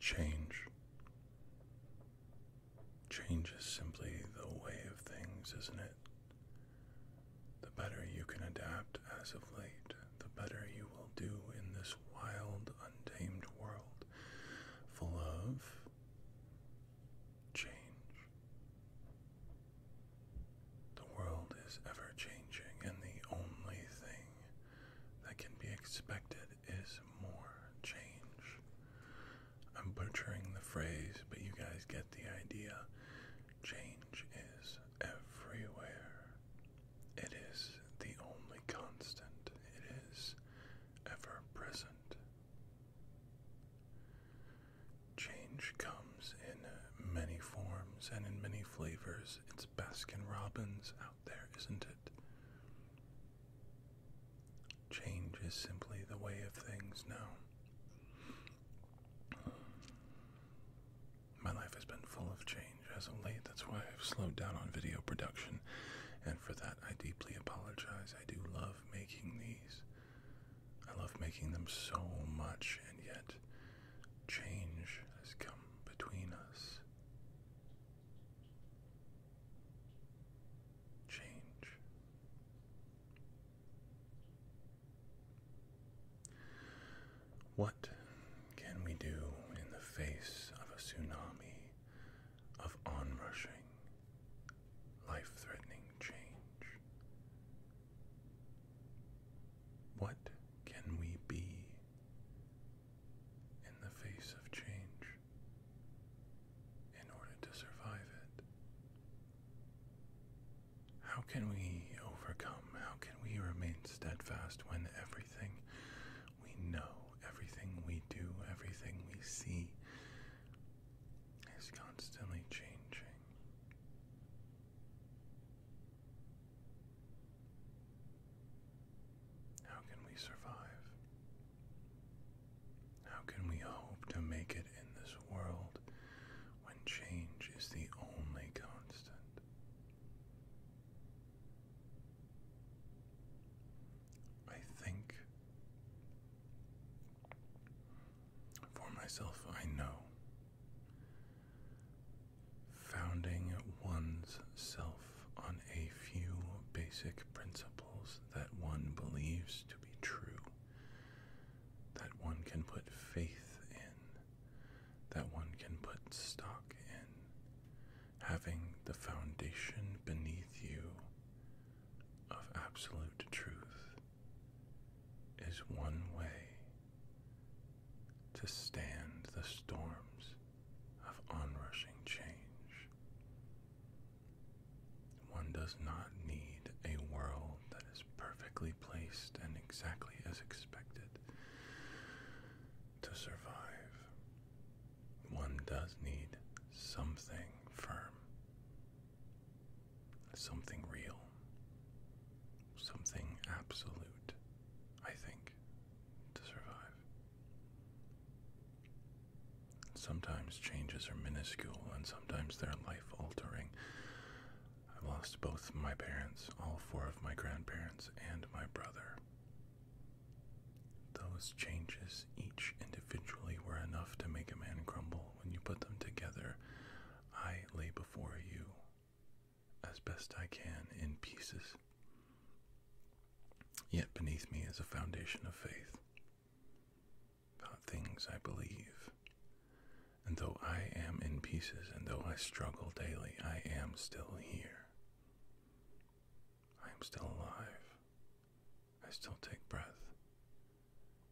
Change. Change is simply the way of things, isn't it? The better you can adapt as of late, the better you will do in this wild, untamed world full of change. The world is ever changing, and the only thing that can be expected is more change. I'm butchering the phrase, but you guys get the idea. Change is everywhere. It is the only constant. It is ever present. Change comes in many forms and in many flavors. It's Baskin Robbins there, isn't it? Change is simply the way of things now. My life has been full of change as of late. That's why I've slowed down on video production, and for that I deeply apologize. I do love making these. I love making them so much, and yet change has come between us. Change. What can we do in the face of a tsunami of onrushing, life threatening change? What can we be in the face of change in order to survive it? How can we overcome? How can we remain steadfast when everything we know, everything we do, everything we see is constantly changing? How can we survive? How can we hope to make it in this world when change is the only constant? I think for myself, I know Founding one's self on a few basic principles that one believes to be true, that one can put faith in, that one can put stock in, having the foundation beneath you of absolute truth is one way to stand the storms of onrushing change. One does not need a world that is perfectly placed and exactly as expected to survive. One does need something firm something real, something absolute, I think, to survive. Sometimes changes are minuscule and sometimes they're life altering. i lost both my parents, all four of my grandparents, and my brother. Those changes, each individually, were enough to make a man crumble. When you put them together, I lay before you as best I can in pieces. Yet beneath me is a foundation of faith about things I believe. And though I am in pieces, and though I struggle daily, I am still here. I am still alive. I still take breath.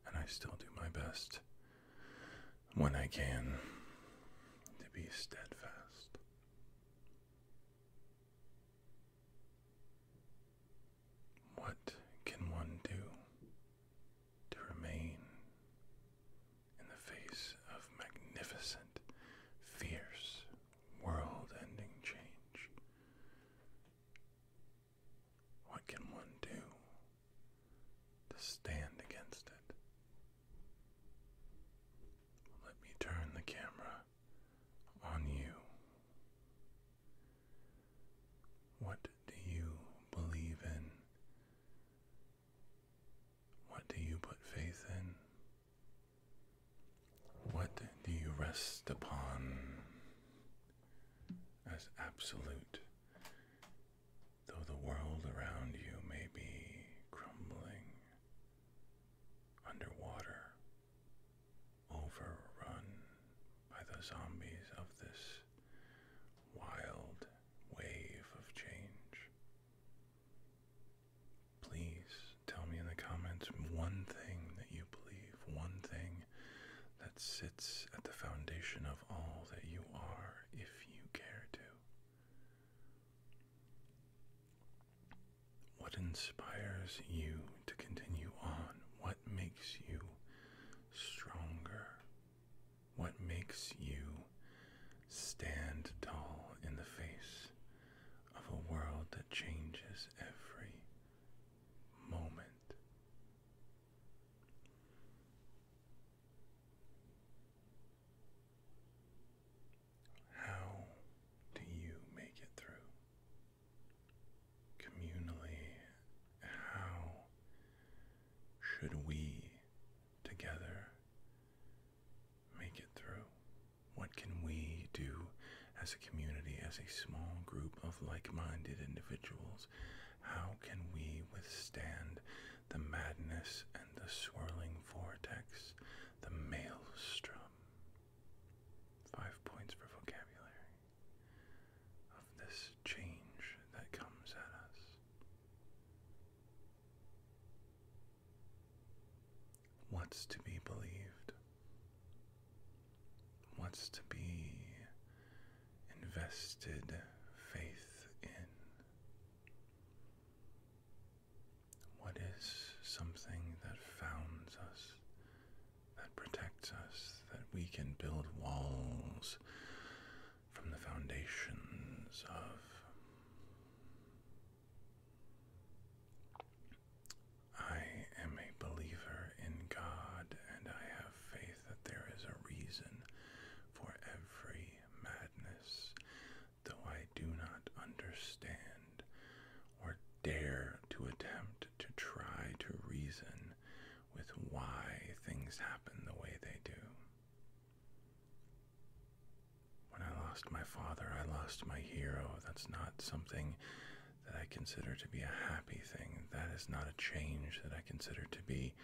And I still do my best when I can to be steadfast. What can one do to remain in the face of magnificent, fierce, world ending change? What can one do to stand against it? Let me turn the camera on you. What do you believe in? What do you put faith in? What do you rest upon? as absolute, though the world around you may be crumbling, underwater, overrun by the zombies of this wild wave of change. Please Tell me in the comments one thing that you believe, one thing that sits at the foundation of all that you are, if you care to. What inspires you to continue on? What makes you stronger? What makes you stand tall in the face of a world that changes every moment. How do you make it through? Communally, how should we together make it through? What can we do as a community, as a small group of like minded individuals? How can we withstand the madness and the swirling vortex, the maelstrom? Five points for vocabulary of this change that comes at us. What's to be believed? What's to be invested faith in? What is something that founds us, that protects us, that we can build walls from the foundations of? I am a believer in God and I have faith that there is a reason for every madness, though I do not understand or dare to attempt to try to reason with why things happen the way they do. When I lost my father, I lost my hero. That's not something that I consider to be a happy thing. That is not a change that I consider to be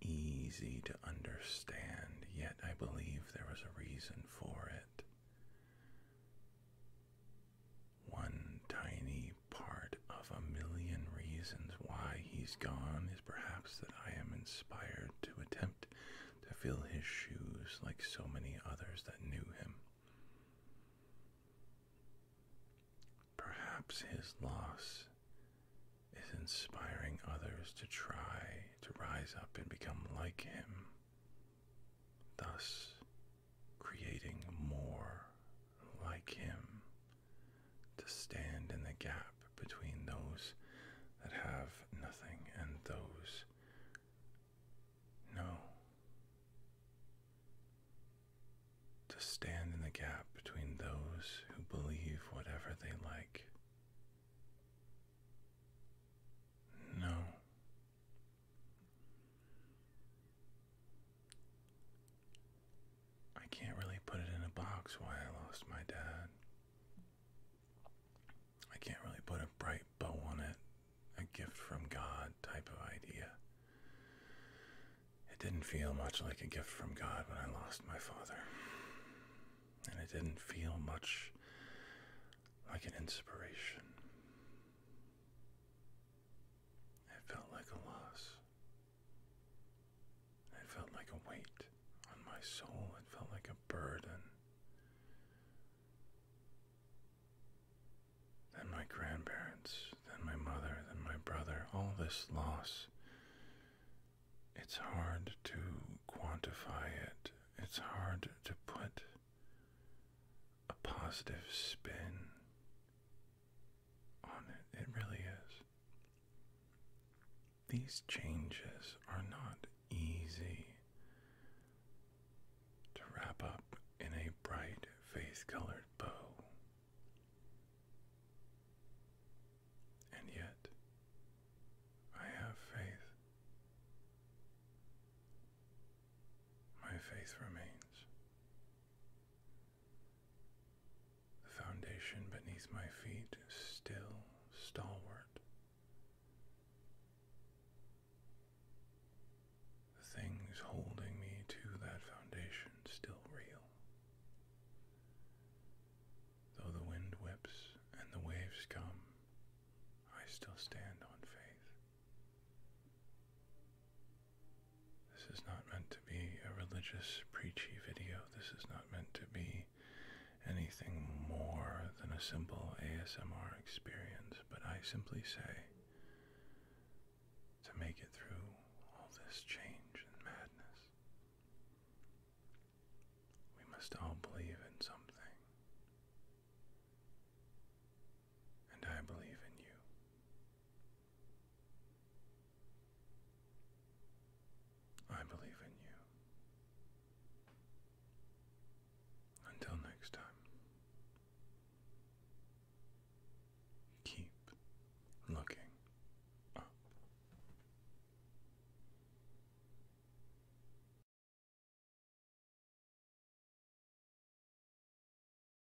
easy to understand. Yet I believe there was a reason for it. One tiny part of a million reasons why he's gone is perhaps that I am inspired to attempt to fill his shoes like so many others that knew him. Perhaps his loss is inspiring others to try to rise up and become like him, thus creating more like him to stand in the gap between those that have nothing and those. No. To stand in the gap between those who believe whatever they like. No. I can't really put it in a box why I lost my dad. I can't really put a bright bow on it. A gift from God type of idea. It didn't feel much like a gift from God when I lost my father. And it didn't feel much like an inspiration. It felt like a loss. It felt like a weight on my soul, it felt like a burden. Then my grandparents, then my mother, then my brother, all this loss. It's hard to quantify it. It's hard to put a positive spin on it. It really is. These changes are not easy to wrap up in a bright faith colored bow. And yet, I have faith. My faith remains. The foundation beneath my feet is still stalwart. The things holding me to that foundation still reel. Though the wind whips and the waves come, I still stand on faith. This is not meant to be a religious preachy video. This is not meant to be anything more than a simple ASMR experience, but I simply say to make it through all this change and madness, we must all believe in something. And I believe in you. I believe in you. Until next time, keep looking up.